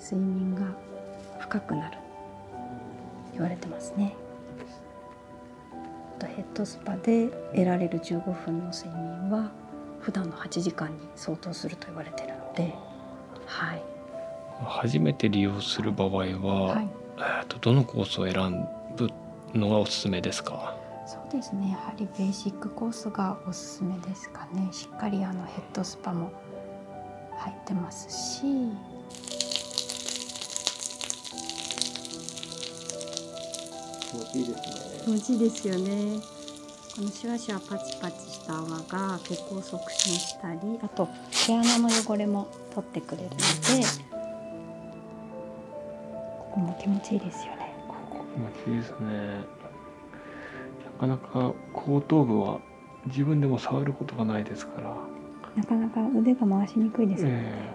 睡眠が深くなる言われてますねとヘッドスパで得られる15分の睡眠は普段の8時間に相当すると言われてるので、はい、初めて利用する場合は、えー、とどのコースを選ぶのがおすすめですかそうですねやはりベーシックコースがおすすめですかねしっかりあのヘッドスパも入ってますし。気持ですよね。このシュワシパチパチした泡が血行促進したり、あと毛穴の汚れも取ってくれるので、ここも気持ちいいですよね。ここ気持ちいいですね。なかなか後頭部は自分でも触ることがないですからなかなか腕が回しにくいですね、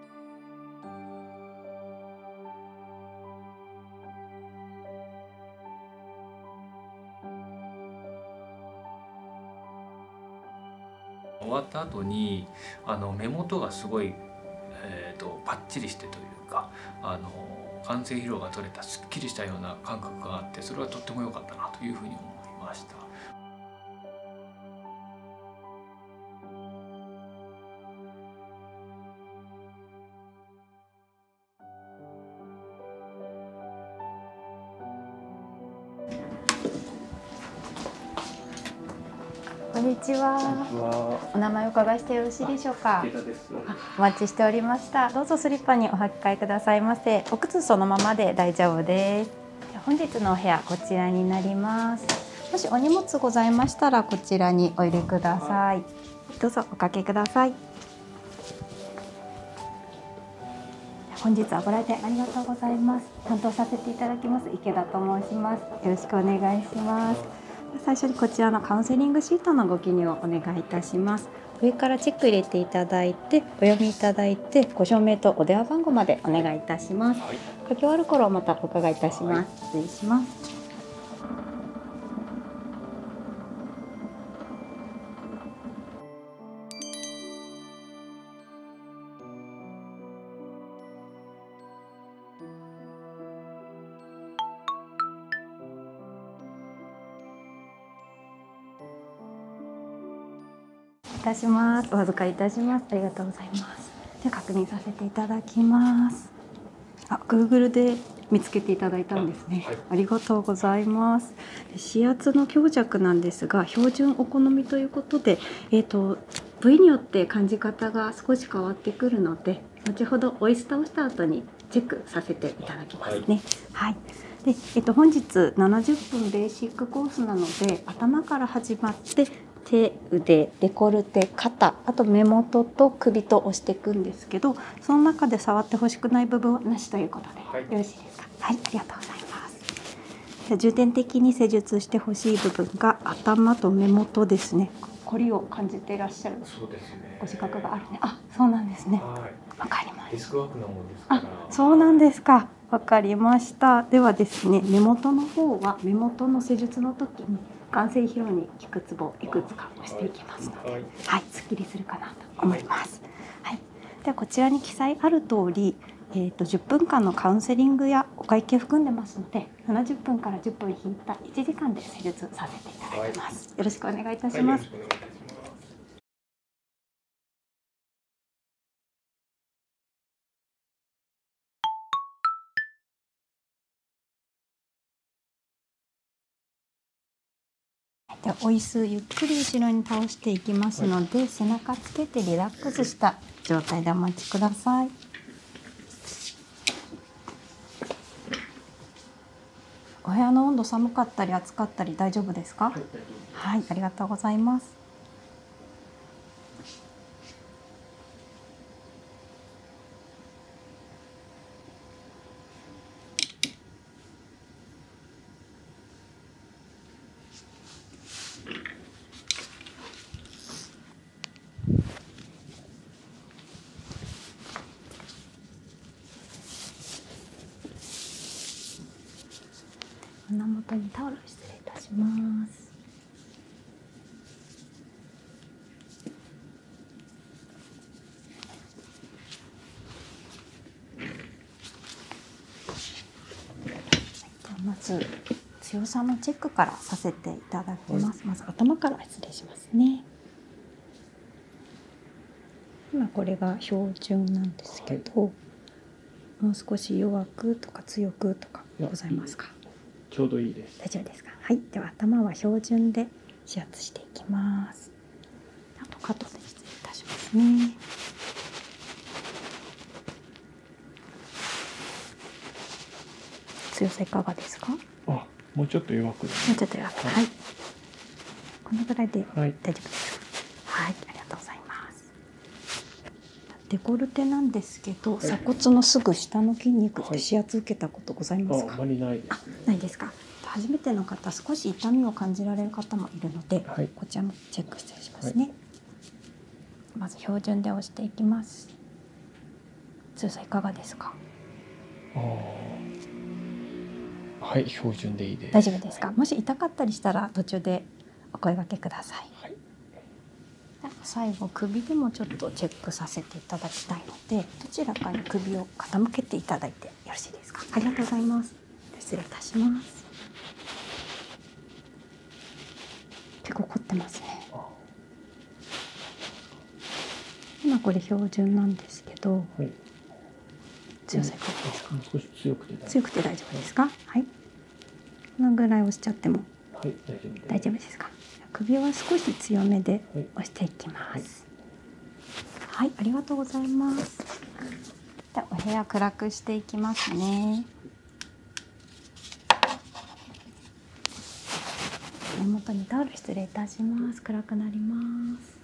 終わった後にあの目元がすごい、えーと、パッチリしてというかあの完成疲労が取れたすっきりしたような感覚があってそれはとっても良かったなというふうに思いました。こんにちは。お名前を伺いしてよろしいでしょうか。お待ちしておりました。どうぞスリッパにお履き替えくださいませ。お靴そのままで大丈夫です。本日のお部屋こちらになります。もしお荷物ございましたらこちらにお入れください。どうぞおかけください。本日はご来店ありがとうございます。担当させていただきます池田と申します。よろしくお願いします。最初にこちらのカウンセリングシートのご記入をお願いいたします。上からチェック入れていただいてお読みいただいてご証明とお電話番号までお願いいたします。書き終わる頃またお伺いいたします。失礼します。いたします。お預かりいたします。ありがとうございます。で確認させていただきます。あ、Google で見つけていただいたんですね。ありがとうございます。指圧の強弱なんですが、標準お好みということで、えっ、と部位によって感じ方が少し変わってくるので、後ほどオイスターをした後にチェックさせていただきますね。はいで、えっと、本日70分ベーシックコースなので頭から始まって手腕デコルテ肩あと目元と首と押していくんですけどその中で触ってほしくない部分はなしということで、よろしいですかはいありがとうございますじゃ重点的に施術してほしい部分が頭と目元ですね凝りを感じていらっしゃるそうですねご自覚があるねあそうなんですねわかりますデスクワークなもんですあそうなんですかわかりましたではですね目元の方は目元の施術の時に眼性疲労に効くツボいくつか押していきますので、はい、すっきりするかなと思います。はい、ではこちらに記載ある通り、えーと、10分間のカウンセリングやお会計含んでますので、70分から10分引いた1時間で施術させていただきます。よろしくお願いいたします。でお椅子ゆっくり後ろに倒していきますので、背中つけてリラックスした状態でお待ちください。お部屋の温度寒かったり暑かったり大丈夫ですか、はい、ありがとうございます。胸元にタオル失礼いたします。まず強さのチェックからさせていただきます。まず頭から失礼しますね。今これが標準なんですけど、もう少し弱くとか強くとかございますか。ちょうどいいです。大丈夫ですか。はい、では頭は標準で指圧していきます。あとカッで失礼いたしますね。強さいかがですか。もうちょっと弱く。もうちょっと弱く。はい。はい、こぐらいで大丈夫です。はい、ありがとうございます。デコルテなんですでけど、鎖骨のすぐ下の筋肉ってけたことございますか、ないです、か初めての方少し痛みを感じられる方もいるので、こちらもチェック失礼しますね、まず標準で押していきます通さいかがですかはい標準でいいです大丈夫ですか、もし痛かったりしたら途中でお声がけください、最後首でもちょっとチェックさせていただきたいのでどちらかに首を傾けていただいてよろしいですかありがとうございます失礼いたします結構凝ってますね今これ標準なんですけど、強さいかですか強くて大丈夫ですかはいこのぐらい押しちゃってもはい、大丈夫です。大丈夫ですか。首は少し強めで押していきます。はい、ありがとうございます。じゃお部屋暗くしていきますね。目元にタオル失礼いたします。暗くなります。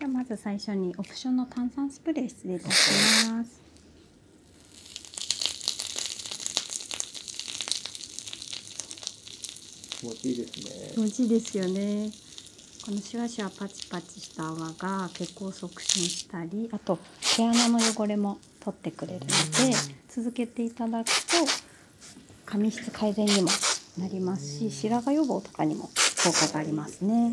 ではまず最初にオプションの炭酸スプレー失礼いたします。気持ちいいですね気持ちいいですよねこのシュワシュワパチパチした泡が血行促進したりあと毛穴の汚れも取ってくれるので続けていただくと髪質改善にもなりますし白髪予防とかにも効果がありますね。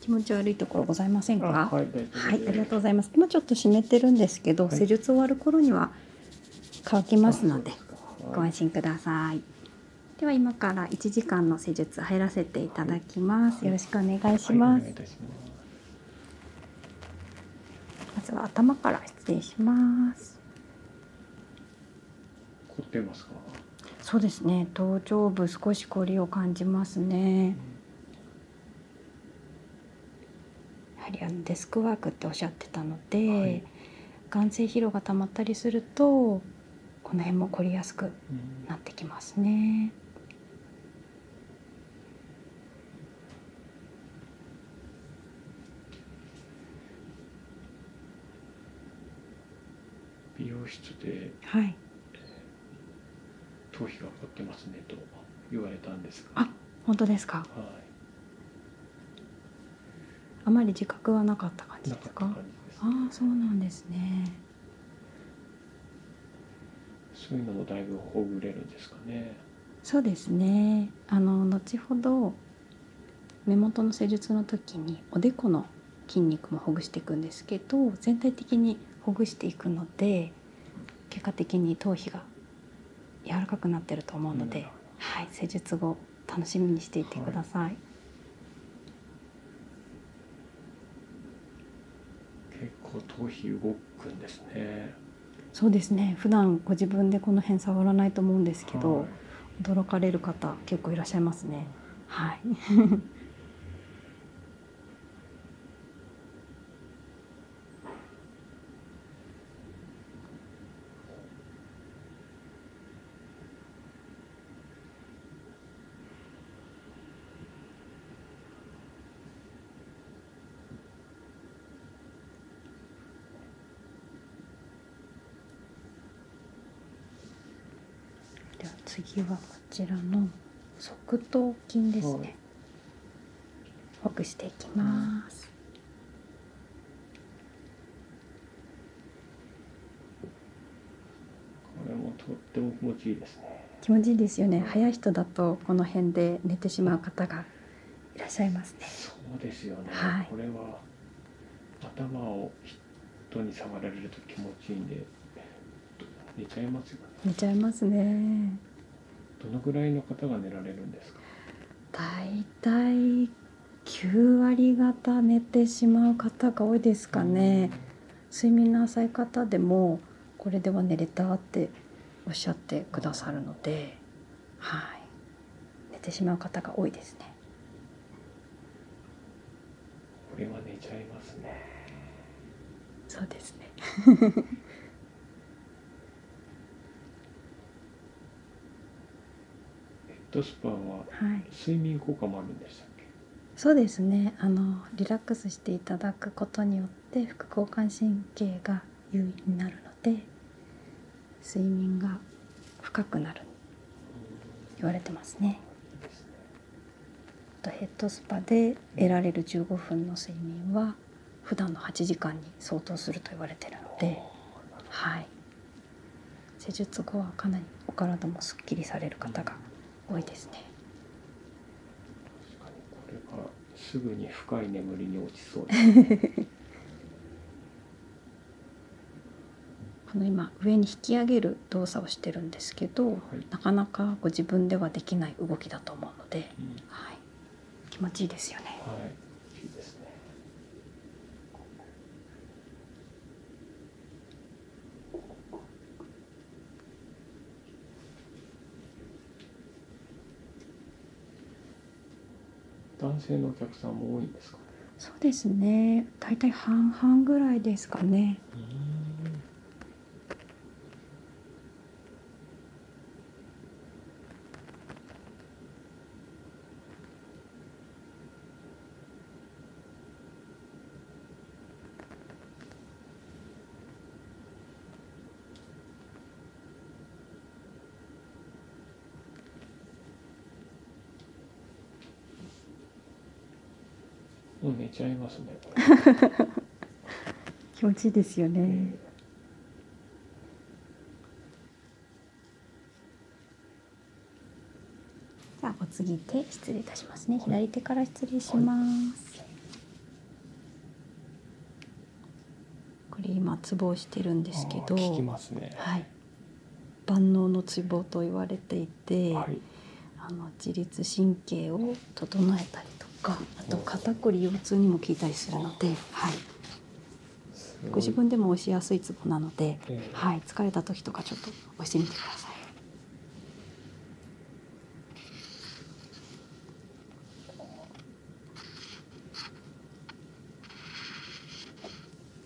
気持ち悪いところございませんか。はい、ありがとうございます。今ちょっと湿ってるんですけど、施術終わる頃には乾きますので、ご安心ください。では今から1時間の施術入らせていただきます。よろしくお願いしますまずは頭から失礼します。凝ってますかそうですね頭頂部少し凝りを感じますね、やはりあのデスクワークっておっしゃってたので、眼性疲労がたまったりするとこの辺も凝りやすくなってきますね、美容室で、はい、頭皮がかってますねと言われたんですがあ本当ですか、あまり自覚はなかった感じですか、ああそうなんですねそういうのもだいぶほぐれるんですかねそうですねあの後ほど目元の施術の時におでこの筋肉もほぐしていくんですけど全体的にほぐしていくので結果的に頭皮が柔らかくなってると思うので、はい、施術後楽しみにしていてください、結構頭皮動くんですねそうですね普段ご自分でこの辺触らないと思うんですけど、驚かれる方結構いらっしゃいますねでは次はこちらの側頭筋ですね、ほぐしていきます。気持ちいいですよね。早い人だとこの辺で寝てしまう方がいらっしゃいますね。そうですよね。これは頭を人に触られると気持ちいいんで寝ちゃいますよね寝ちゃいますねどのぐらいの方が寝られるんですか大体9割方寝てしまう方が多いですかね、睡眠の浅い方でもこれでは寝れたっておっしゃってくださるのではい寝てしまう方が多いですねこれは寝ちゃいますねそうですね ヘッ睡眠効果もあるんでしたっけ、そうですねあのリラックスしていただくことによって副交感神経が優位になるので睡眠が深くなる言われてますねヘッドスパで得られる15分の睡眠は普段の8時間に相当すると言われてるのではい施術後はかなりお体もすっきりされる方が多いですね確かにこれはすぐに深い眠りに落ちそうです この今上に引き上げる動作をしてるんですけど、なかなかご自分ではできない動きだと思うので、はい、気持ちいいですよね男性のお客さんも多いんですか、そうですね大体半々ぐらいですかねもう寝ちゃいますね。気持ちいいですよね。えーお次手失礼いたしますね左手から失礼します、これ今ツボをしてるんですけど、はい万能のツボと言われていて、あの自律神経を整えたりとかあと肩こり腰痛にも効いたりするので、はい、ご自分でも押しやすいツボなので、はい、疲れた時とかちょっと押してみてください。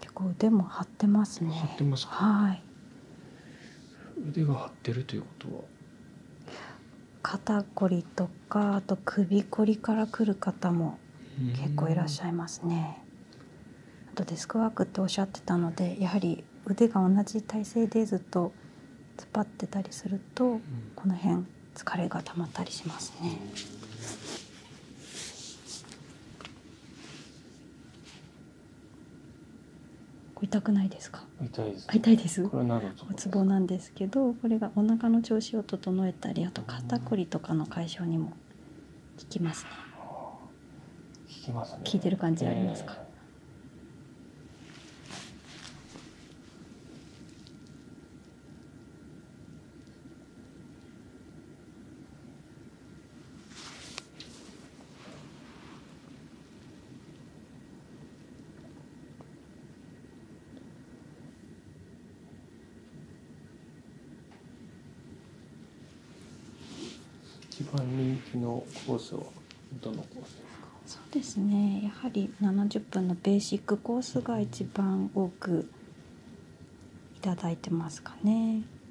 結構腕も張ってますね。はい。腕が張ってるということは。肩こりとかあと首こりからくる方も結構いらっしゃいますね。あとデスクワークっておっしゃってたのでやはり腕が同じ体勢でずっと突っ張ってたりすると、この辺疲れが溜まったりしますね。痛くないですか痛いです、ね、痛いですなおツボなんですけどこれがお腹の調子を整えたりあと肩こりとかの解消にも効きますね効いてる感じありますか、一番人気のコースはそうですねやはり70分のベーシックコースが一番多くいただいてますかね。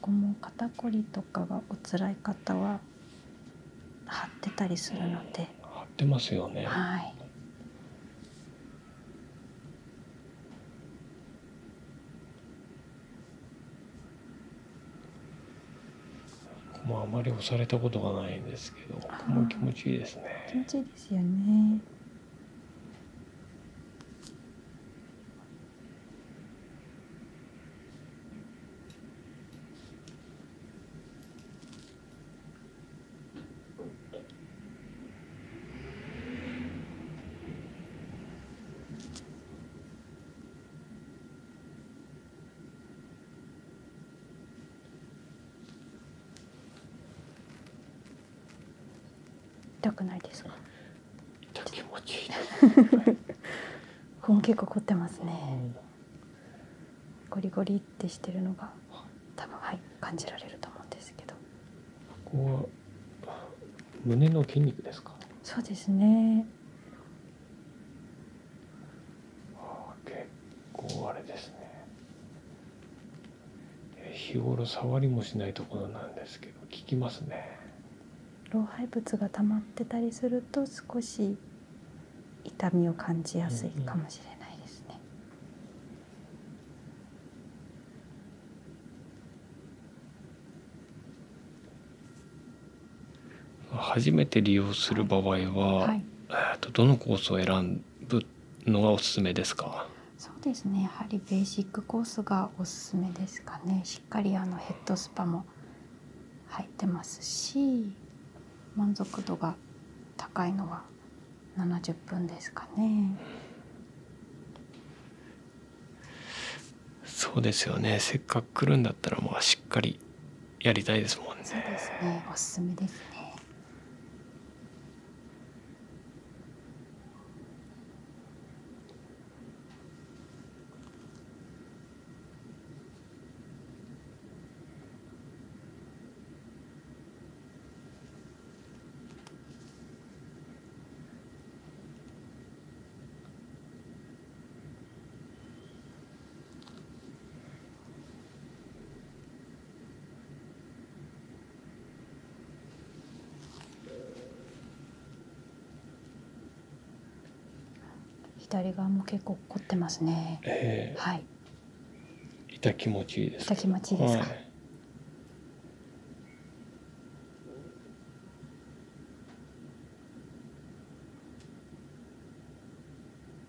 ここも肩こりとかがお辛い方は張ってたりするので張ってますよねはいここもあまり押されたことがないんですけどここも気持ちいいですね気持ちいいですよね痛くないですか。気持ちいいです。結構凝ってますね。ゴリゴリってしてるのが多分はい感じられると思うんですけど。ここは胸の筋肉ですか。そうですね。ああ結構あれですね日頃触りもしないところなんですけど効きますね老廃物が溜まってたりすると少し痛みを感じやすいかもしれないですね、う初めて利用する場合は、えー、とどのコースを選ぶのがおすすめですかそうですねやはりベーシックコースがおすすめですかねしっかりあのヘッドスパも入ってますし満足度が高いのは70分ですかね。そうですよねせっかく来るんだったらまあしっかりやりたいですもんね。そうですね。おすすめですね。左側も結構凝ってますね。はい。た気持ちいいです。痛気持ちいいですか。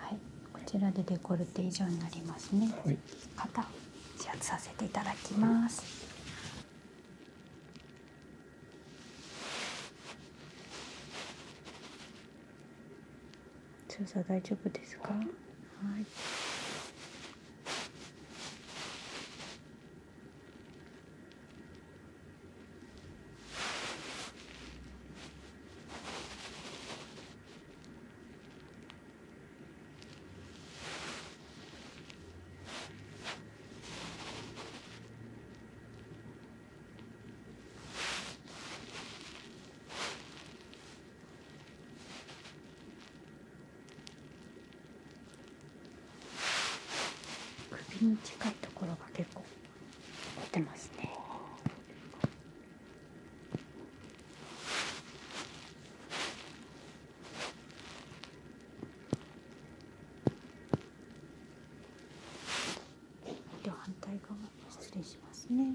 はい、こちらでデコルテ以上になりますね。はい、指圧させていただきます。強さ大丈夫ですか？はい。首に近いところが結構出てますね。では反対側も失礼しますね。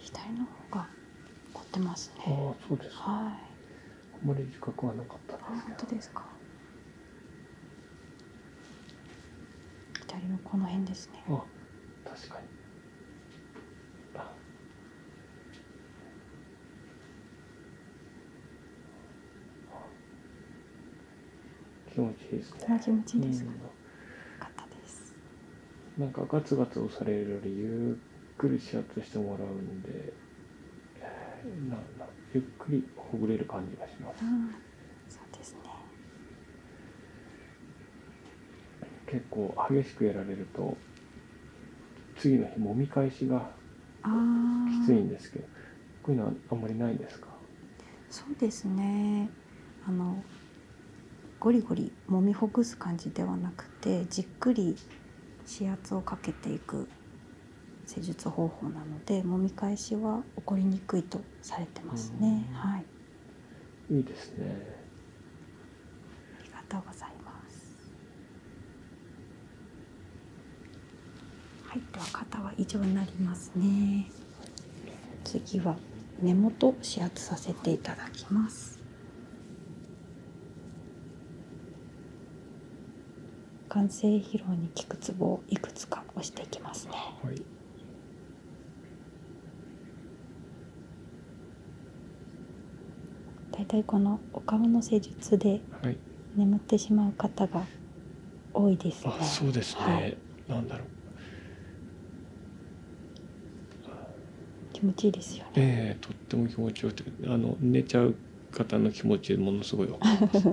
左の方が凝ってますね。あはい。あっ本当ですか。左のこの辺ですね。確かに。気持ちいいですね気持か、なんかガツガツ押されるよりゆっくりシャツしてもらうんでゆっくりほぐれる感じがします、結構激しくやられると次の日もみ返しがきついんですけどこういうのはあんまりないですかそうですねあのゴリゴリ揉みほぐす感じではなくてじっくり指圧をかけていく施術方法なので揉み返しは起こりにくいとされてますね。はい、いいですね。ありがとうございます。はいでは肩は以上になりますね次は根元指圧させていただきます眼性疲労に効くツボをいくつか押していきますね、はい大体このお顔の施術で眠ってしまう方が多いですそうですね、なんだろう気持ちいいですよね。えとっても気持ちよくてあの寝ちゃう方の気持ちものすごいわかります。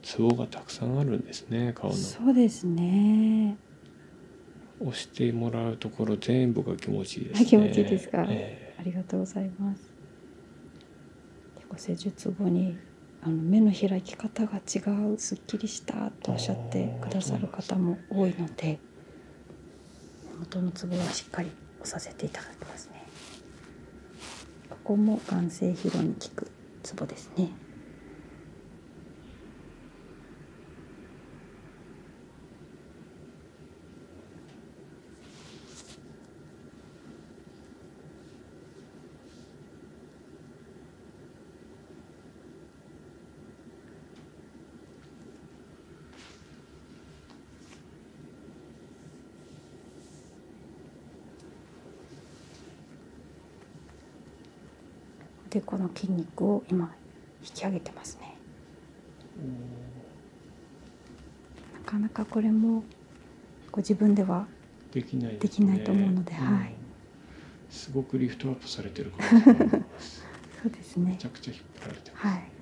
ツボがたくさんあるんですね顔のそうですね押してもらうところ全部が気持ちいいで気持ちいいですか、ありがとうございます結構施術後にあの目の開き方が違うすっきりしたとおっしゃってくださる方も多いので元のつぼはしっかり押させていただきますねここも眼性疲労に効くツボですねでこの筋肉を今引き上げてますねなかなかこれもご自分ではできない、と思うので、すごくリフトアップされてる そうですねめちゃくちゃ引っ張られてます、はい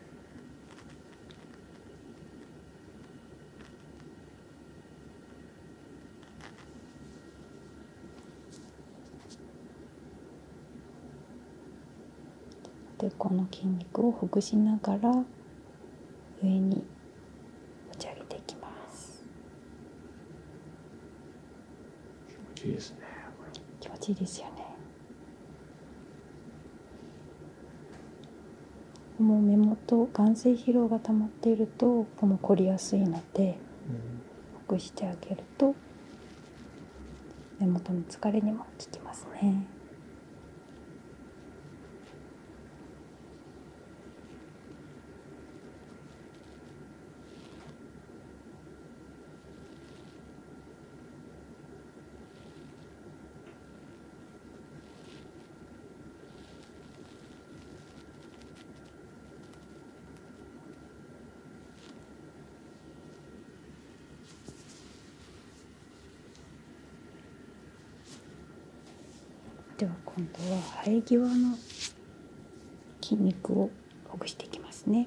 でこの筋肉をほぐしながら上に持ち上げていきます気持ちいいです気持ちいいですよねこの目元眼性疲労が溜まっているとこの凝りやすいのでほぐしてあげると目元の疲れにも効きますね。では今度は生え際の筋肉をほぐしていきますね。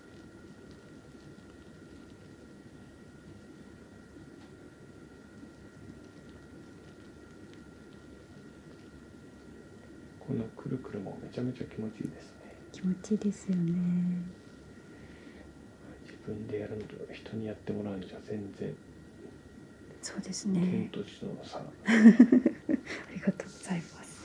このくるくるもめちゃめちゃ気持ちいいですね気持ちいいですよね自分でやるのと人にやってもらうのじゃ全然そうですね ありがとうございます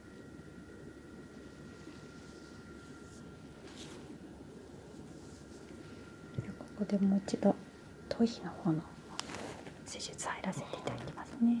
ここでもう一度頭皮の方の施術入らせていただきますね。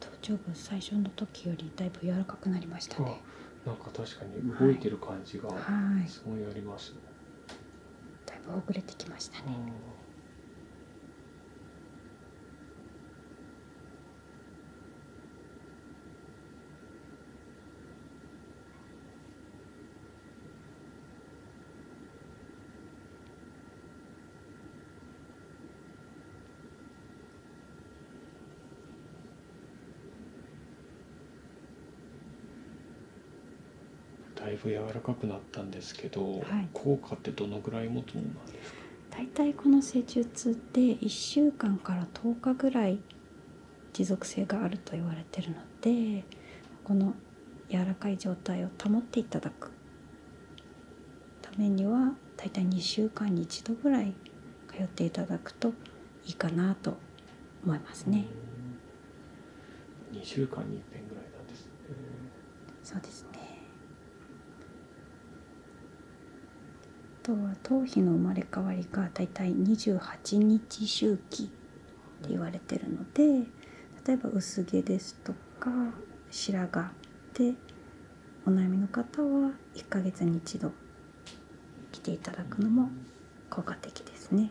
頭頂部最初の時よりだいぶ柔らかくなりましたね。なんか確かに動いてる感じがすごいありますだいぶ遅れてきましたねだいぶ柔らかくなったんですけど、効果ってどのぐらい持つものなんですか大体この施術って1週間から10日ぐらい持続性があると言われてるのでこの柔らかい状態を保っていただくためには大体2週間に1度ぐらい通っていただくといいかなと思いますね。2週間に1遍ぐらいなんですそうですね。あとは頭皮の生まれ変わりがだいたい28日周期って言われてるので例えば薄毛ですとか白髪でお悩みの方は1ヶ月に一度来ていただくのも効果的ですね。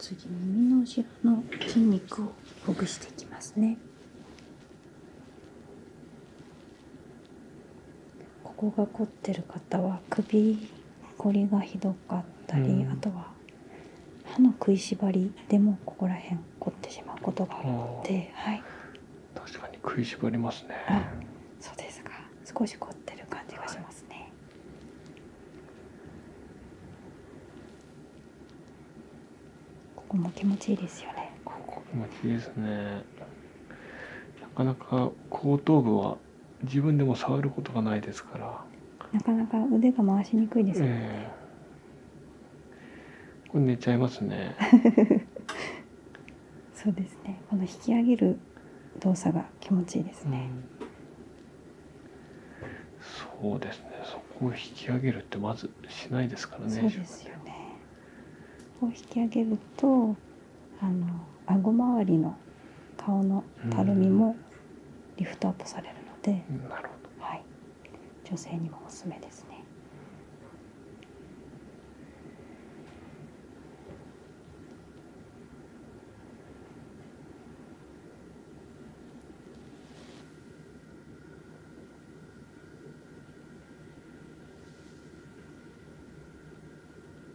次耳の後ろの筋肉をほぐしていきますねここが凝ってる方は首こりがひどかったり、あとは歯の食いしばりでもここら辺凝ってしまうことがあるのはい、確かに食いしばりますねそうですか少し凝ってる感じがしますね、ここも気持ちいいですよねここ気持ちいいですねなかなか後頭部は自分でも触ることがないですからなかなか腕が回しにくいですね、これ寝ちゃいますね そうですねこの引き上げる動作が気持ちいいですね、そうですねそこを引き上げるってまずしないですからねこう引き上げるとあの顎周りの顔のたるみもリフトアップされるので、女性にもおすすめですね。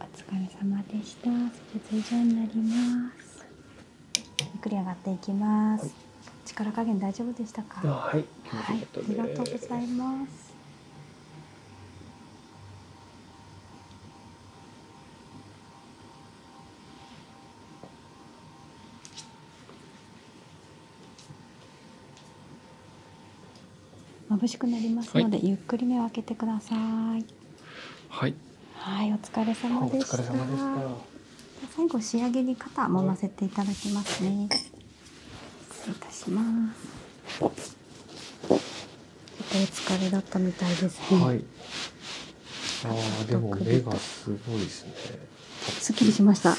お疲れ様でした。施術以上になります。ゆっくり上がっていきます。力加減大丈夫でしたか。はい、ありがとうございます。眩しくなりますので、ゆっくり目を開けてください。はい、はいお疲れ様でした,、はい、最後仕上げに肩もませていただきますね失礼いたしますちっとお疲れだったみたいですねはあでも目がすごいですねすっきりしました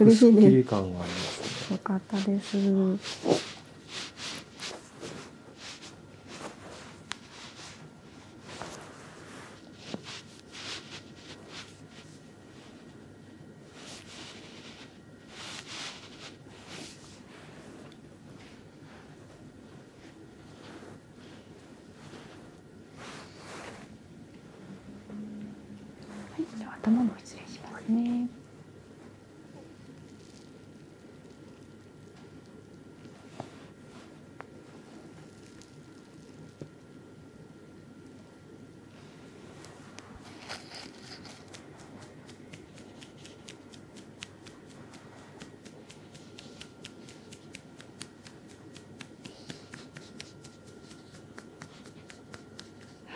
嬉しいです、ね、かったですはい、では頭も失礼しますね。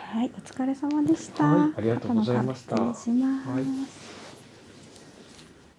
はい、お疲れ様でした。はい、ありがとうございました。失礼します。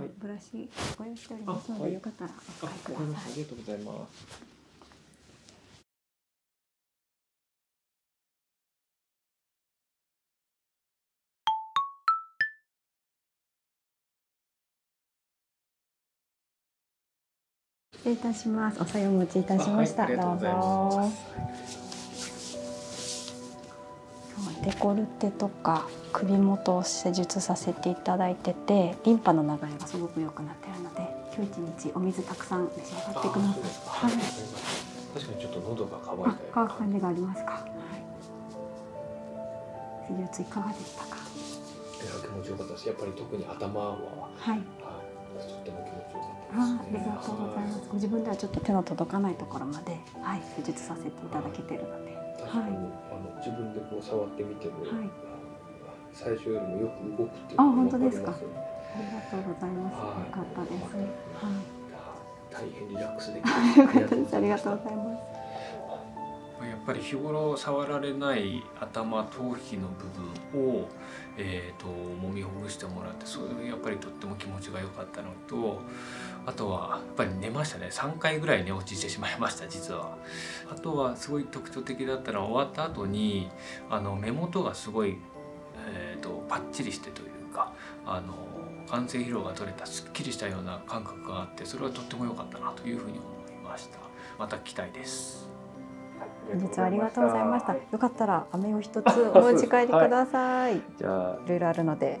でブラシご用意しておりますので、よかったらお使いくありがとうございます失礼いたします。おさお持ちいたしました。どうぞ。デコルテとか首元を施術させていただいててリンパの流れがすごく良くなってるので今日一日お水たくさん召し上がってください。はい、確かにちょっと喉が渇く感じがありますか。はい。かがでしたか。いや気持ちよかったでやっぱり特に頭は、はい、はあ、ありがとうございます。ご自分ではちょっと手の届かないところまではい、施術させていただけてるので。はい、あの自分でこう触ってみてはい、最初よりもよく動くあ本当ですか。ありがとうございます。よかったです。はい。大変リラックスできまありがとうございます。やっぱり日頃触られない頭頭皮の部分を、えーと、揉みほぐしてもらってそれやっぱりとっても気持ちがよかったので。とあとはやっぱり寝ましたね3回ぐらい寝落ちてしまいました実はあとはすごい特徴的だったら終わった後にあの目元がすごい、えーと、パッチリしてというかあの完成疲労が取れたすっきりしたような感覚があってそれはとっても良かったなというふうに思いましたまた期待です本日はありがとうございました。よかったら飴を一つお持ち帰りください、じゃあいろいろあるので